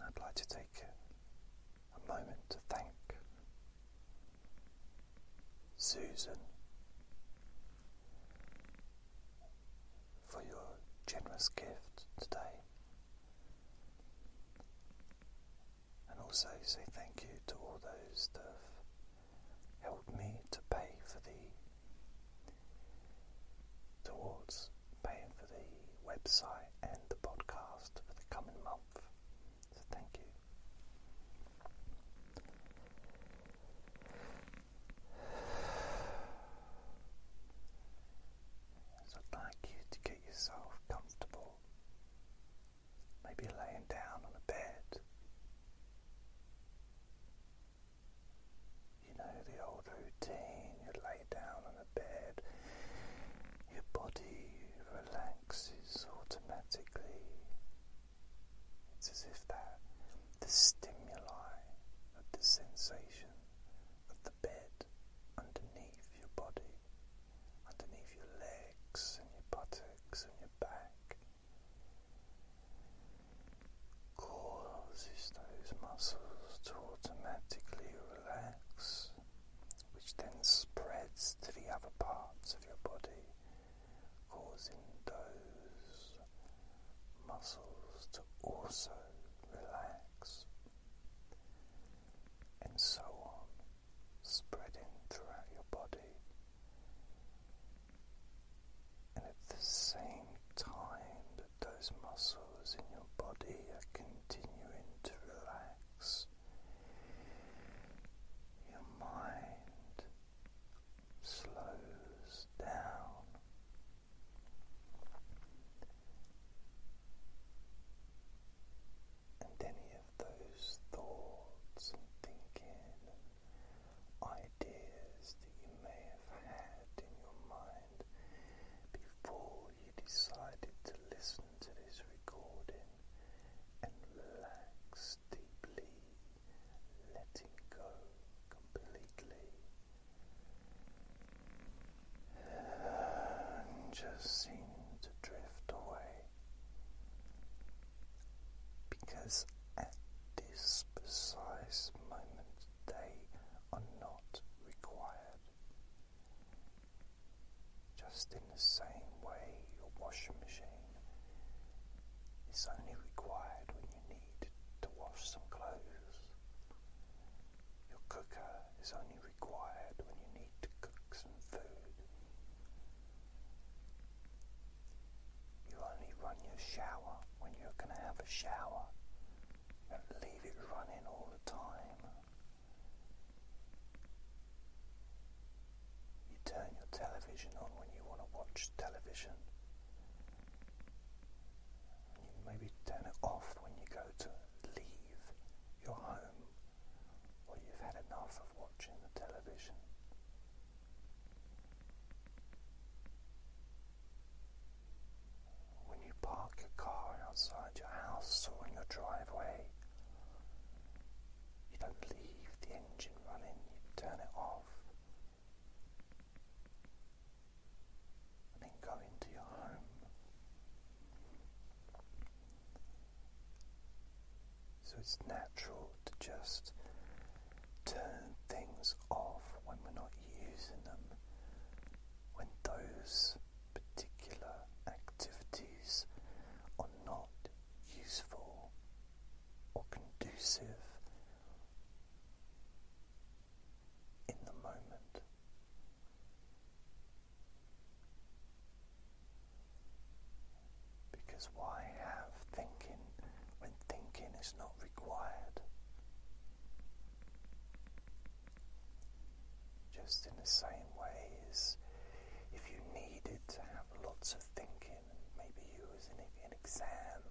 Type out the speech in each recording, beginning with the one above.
I'd like to take a moment to thank Susan for your generous gift today. And also say thank you to all those that have helped me to pay for the towards paying for the website and the podcast for the coming month. So thank you. So I'd like you to get yourself comfortable, maybe laying down on a bed. You know the old routine, you lay down on the bed, your body relaxes automatically. It's as if that the stimuli of the sensation of the bed underneath your body, underneath your legs and your buttocks and your back causes those muscles to automatically relax which then spreads to the other parts of your body, causing those muscles to also relax, and so on, spreading throughout your body. And at the same time, those muscles in your body are continuing to relax. Your mind slows down. And any of those thoughts thinking ideas that you may have had in your mind before you decided to listen to this recording and relax deeply, letting go completely. And seem to drift away because at this precise moment they are not required just in the same way, your washing machine is only required when you need to wash some clothes. Your cooker is only required when you need to cook some food. You only run your shower when you're going to have a shower do leave it running all the time. You turn your television on when you want to watch television. You maybe turn it off when you go to leave your home or you've had enough of watching the television when you park your car outside your house or in your driveway. You don't leave the engine running, you turn it off. And then go into your home. So it's natural to just turn things off when we're not using them when those particular activities are not useful or conducive in the moment. Because why have thinking when thinking is not required? Just in the same ways, if you needed to have lots of thinking, maybe you was in an exam,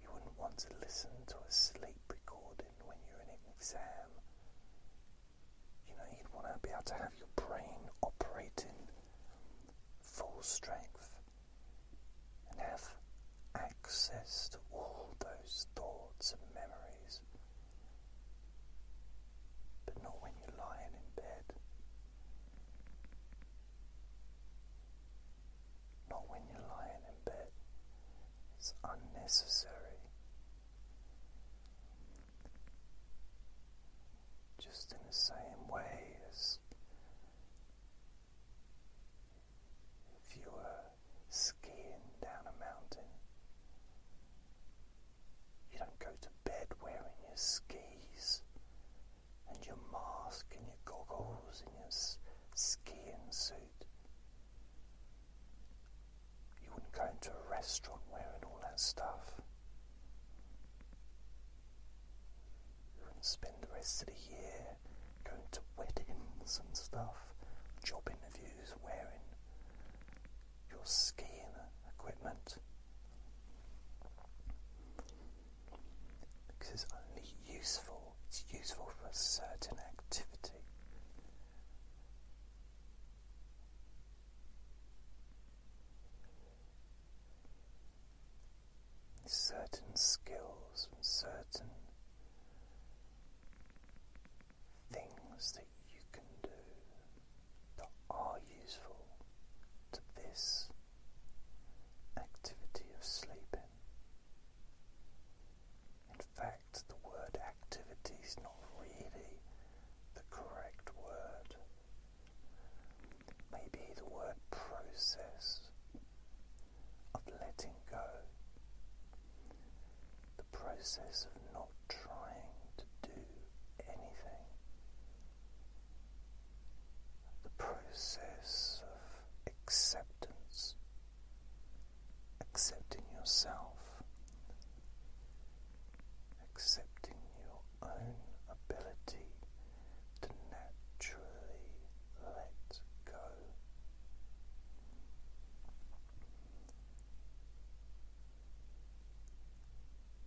you wouldn't want to listen to a sleep recording when you're in an exam. You know, you'd want to be able to have your brain operating full strength and have access to all those thoughts and memories, but not when you're lying in bed, not when you're lying in bed, it's unnecessary. Just in the same way as if you were skiing down a mountain. You don't go to bed wearing your skis and your mask and your goggles and your skiing suit. You wouldn't go into a restaurant wearing all that stuff. You wouldn't spend the rest of the year going to weddings and stuff, job interviews, wearing your skiing equipment. Because it's only useful, it's useful for a certain activity. Certain skills and certain things that you can do that are useful to this activity of sleeping. In fact, the word activity is not really the correct word. Maybe the word process of letting go, the process of not trying to do anything, the process of acceptance, accepting yourself, accepting your own ability to naturally let go.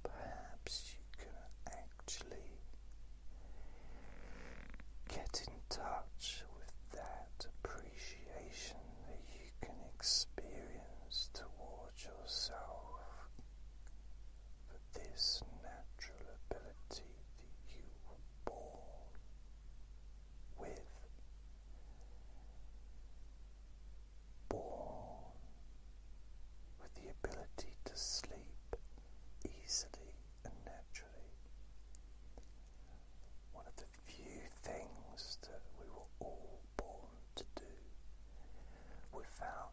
Perhaps you can actually get in touch with that appreciation that you can experience towards yourself for this natural ability that you were born with. Born with the ability to sleep easily and naturally. One of the few things that we were all born to do without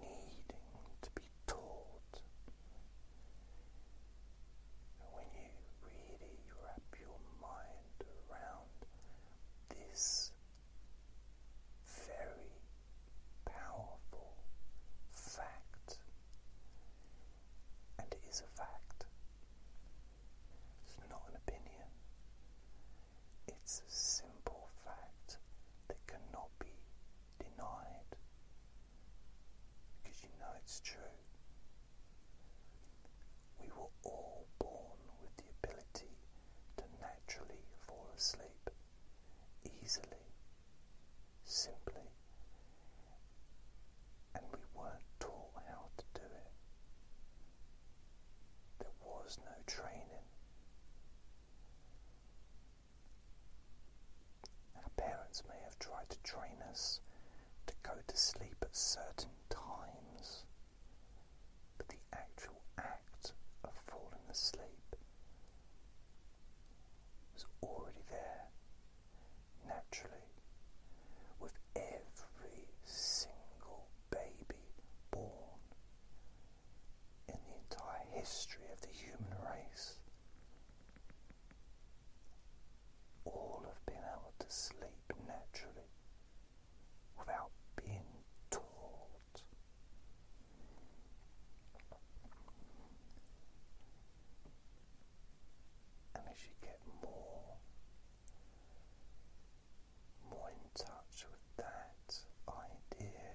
needing to be taught. When you really wrap your mind around this very powerful fact, and it is a fact, it's not an opinion, it's a simple fact that cannot be denied because you know it's true. We were all born with the ability to naturally fall asleep easily, simply, and we weren't taught how to do it. There was no training. Our parents may have tried to train us to go to sleep at certain times, but the actual act of falling asleep was already there naturally with every single baby born in the entire history of the human race all of being able to sleep naturally without being taught. And as you get more, more in touch with that idea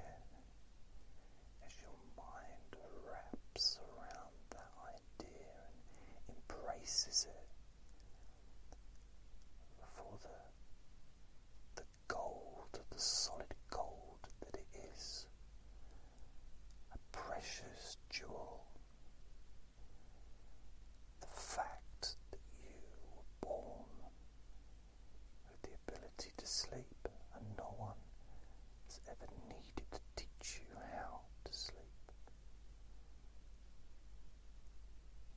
as your mind wraps around that idea and embraces it for the, the gold, the solid gold that it is, a precious jewel. The fact that you were born with the ability to sleep, and no one has ever needed to teach you how to sleep.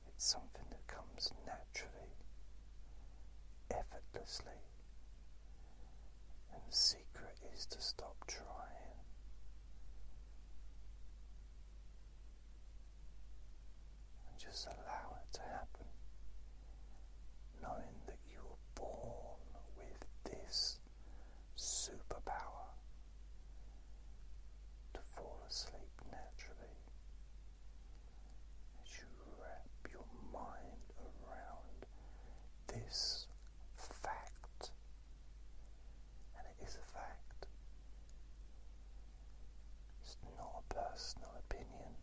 It's something that comes naturally, effortlessly, and the secret is to stop trying. and Just allow it to happen, knowing you were born with this superpower to fall asleep naturally as you wrap your mind around this fact, and it is a fact. It's not a personal opinion.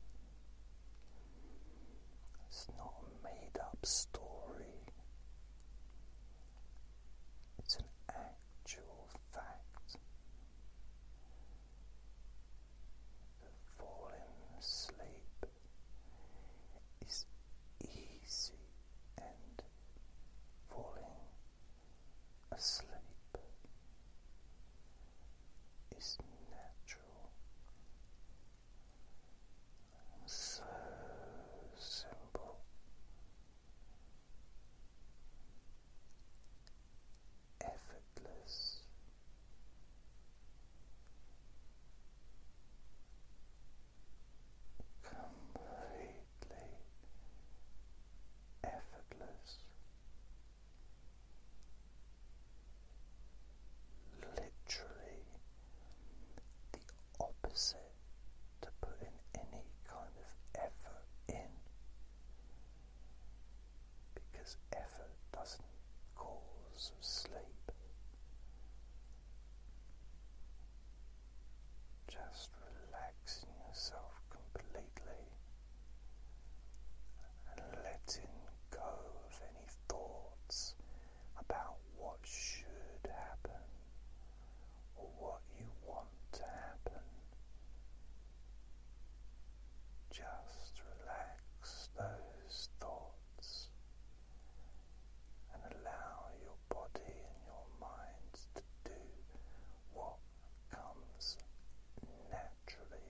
It's not a made up story, it's an actual fact falling asleep is easy and falling asleep is natural so simple. Effortless, completely effortless, literally the opposite to putting any kind of effort in because effort doesn't cause sleep. Just relaxing yourself completely and letting go of any thoughts about what should happen or what you want to happen. Just relax those thoughts and allow your body and your mind to do what comes naturally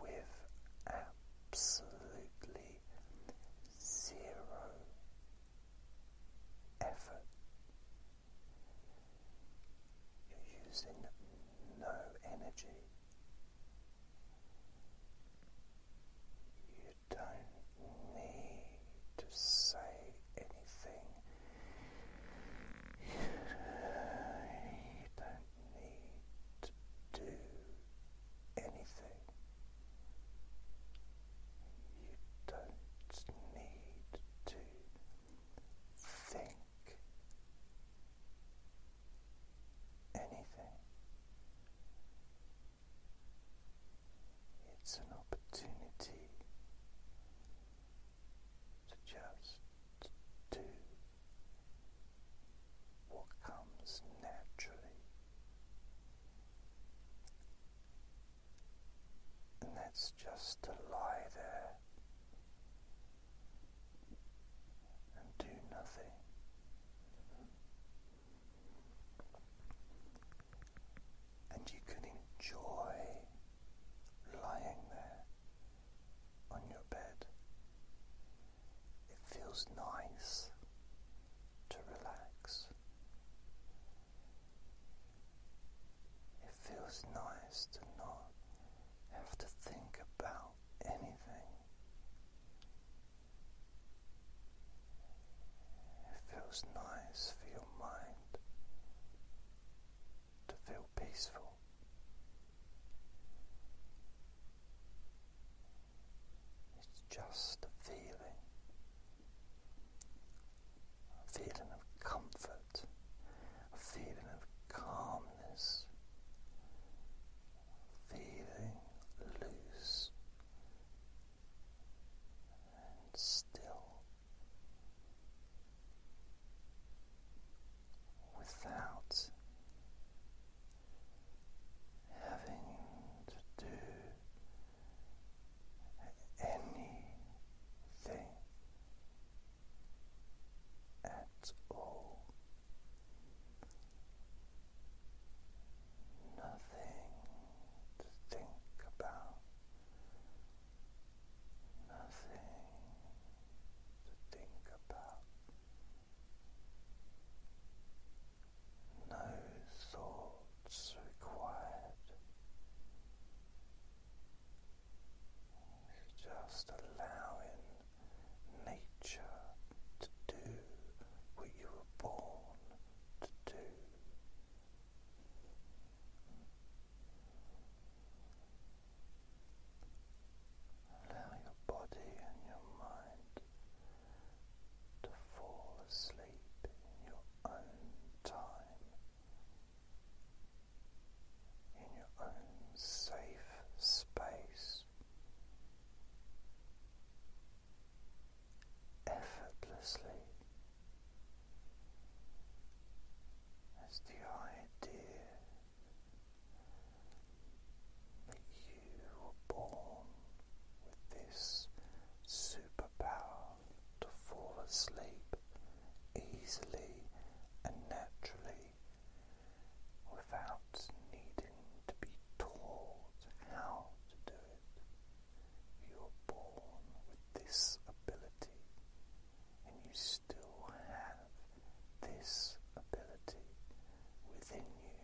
with absolutely zero effort. You're using no energy. You don't need to say anything. You don't need to do anything. You don't need to think anything. It's an opportunity to just do what comes naturally, and that's just to lie there and do nothing. And you can enjoy lying there on your bed. It feels nice to relax. It feels nice to not have to think about anything. It feels nice for your mind to feel peaceful. It's just a feeling, a feeling of comfort, a feeling of calmness, feeling loose and still without having to do anything at all. Nothing to think about, nothing to think about, no thoughts required. Just allowing nature to do what you were born to do. Allow your body and your mind to fall asleep in your own time, in your own safe space, effortlessly. As the idea that you were born with this superpower to fall asleep easily and naturally without needing to be taught how to do it. You were born with this ability and you still have this ability within you.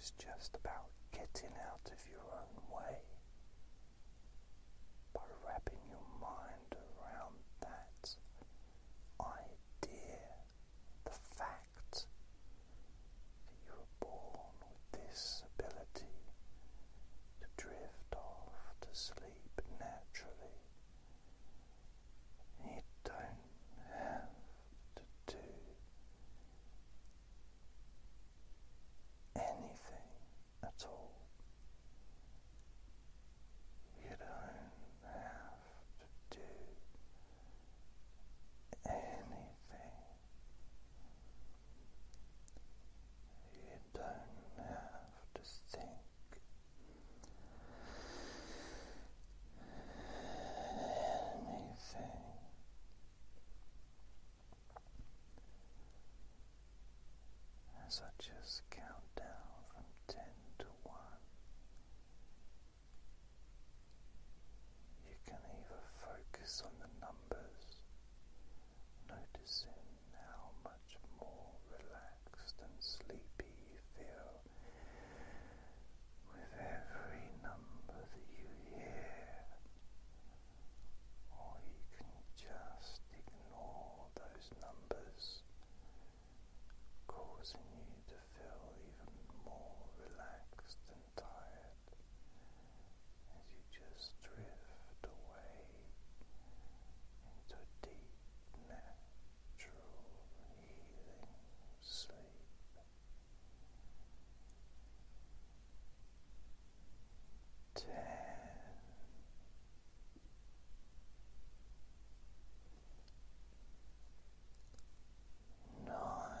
is just about getting out of your own way by wrapping your mind around that idea, the fact you were born with this ability to drift off to sleep naturally. You don't have to do anything at all. You don't have to do anything. You don't have to think anything. As I just count down from ten to one, you can either focus on the numbers noticing how much more relaxed and sleepy you feel with every number that you hear, or you can just ignore those numbers, causing you to feel even more relaxed and tired as you just drift away into deep, natural, healing sleep. Ten. Nine,